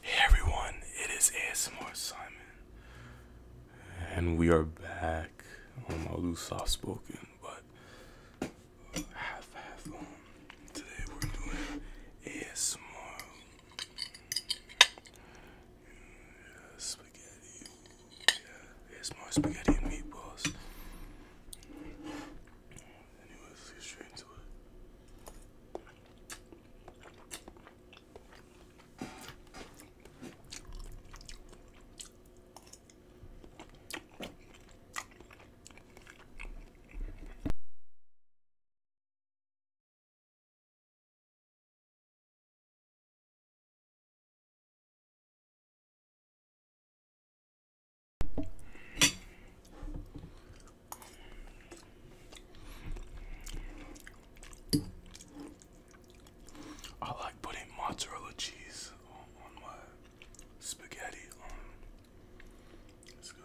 Hey everyone, it is ASMR Simon, and we are back. Um, I'll do soft spoken, but half half. today we're doing ASMR spaghetti. Yeah, ASMR spaghetti and meatballs. Anyways, straight into it. I like putting mozzarella cheese on, my spaghetti. Um, it's good.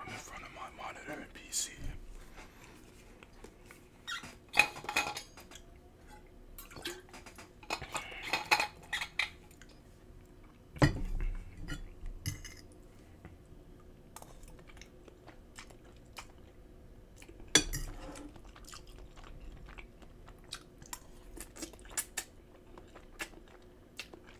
I'm in front of my monitor and PC.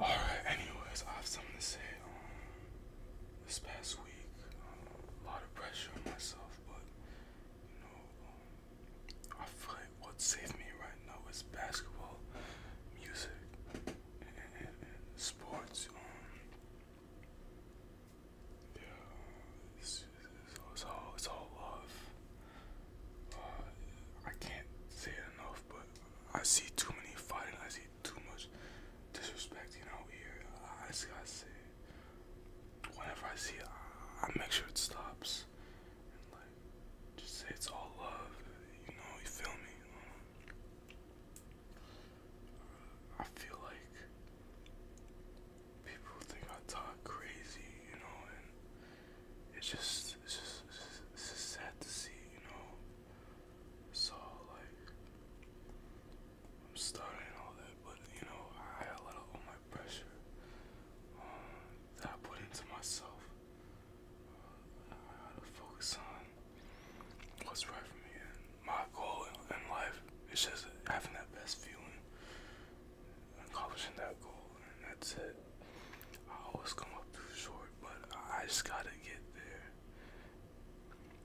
Alright, anyways, I have something to say. Um, this past week, um, a lot of pressure on myself, but you know, um, I feel what saved me right now is basketball, music, sports. Um, yeah, it's, all it's all love. Uh, I can't say enough, but I see too many fighting. I see too much disrespecting out here. I, just gotta see. Whenever I see it, I, make sure it stops. Just say it's all love. You know, you feel me? I feel like people think I talk crazy, you know, and it's just it's just it's just, sad to see, you know. So like I'm starting all that, but you know, I had a lot of my pressure um, that I put into myself. Uh, I gotta focus on what's right for me. And my goal in, life is just having that best feeling, accomplishing that goal, and that's it. I always come up too short, but I just gotta get there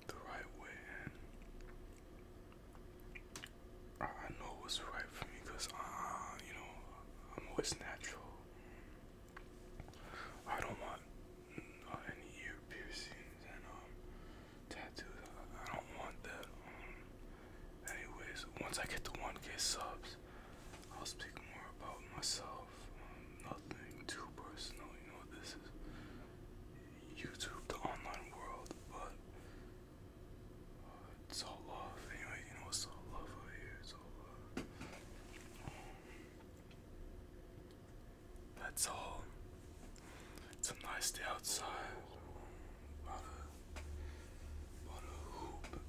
the right way. I, know what's right for me because, uh, you know, I'm always natural. I don't want uh, any ear piercings and um, tattoos. I, don't want that. Um, anyways, once I get the 1k subs, I'll speak more about myself. Um, nothing too personal, you know, this is YouTube, the online world, but it's all love. Anyway, you know, it's all love over here. It's all love. That's all. It's a nice day outside. About a, about a hoop.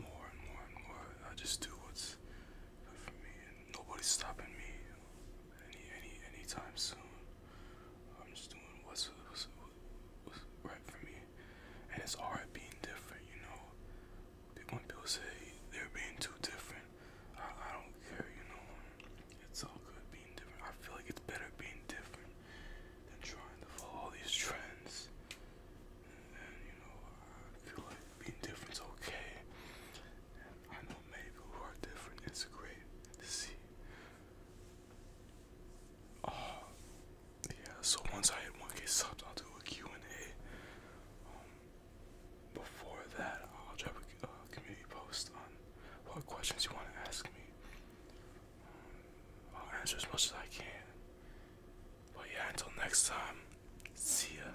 More and more and more. I just do what's good for me, and nobody's stopping me any any anytime soon. I'm just doing what's what's, what's was right for me. And it's alright being different, you know. When people say they're being too different, I, don't care, you know. It's all good being different. I feel like it's better being different than trying to follow all these trends. And, you know, I feel like being different's okay. I know people who are different. It's great to see. Oh, yeah, so once I hit 1k subs, I'll do a Q&A. Um, before that, I'll drop a uh, community post on what questions you want to ask me. Um, I'll answer as much as I can. But yeah, until next time, see ya.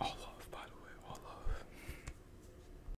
All love, by the way, all love.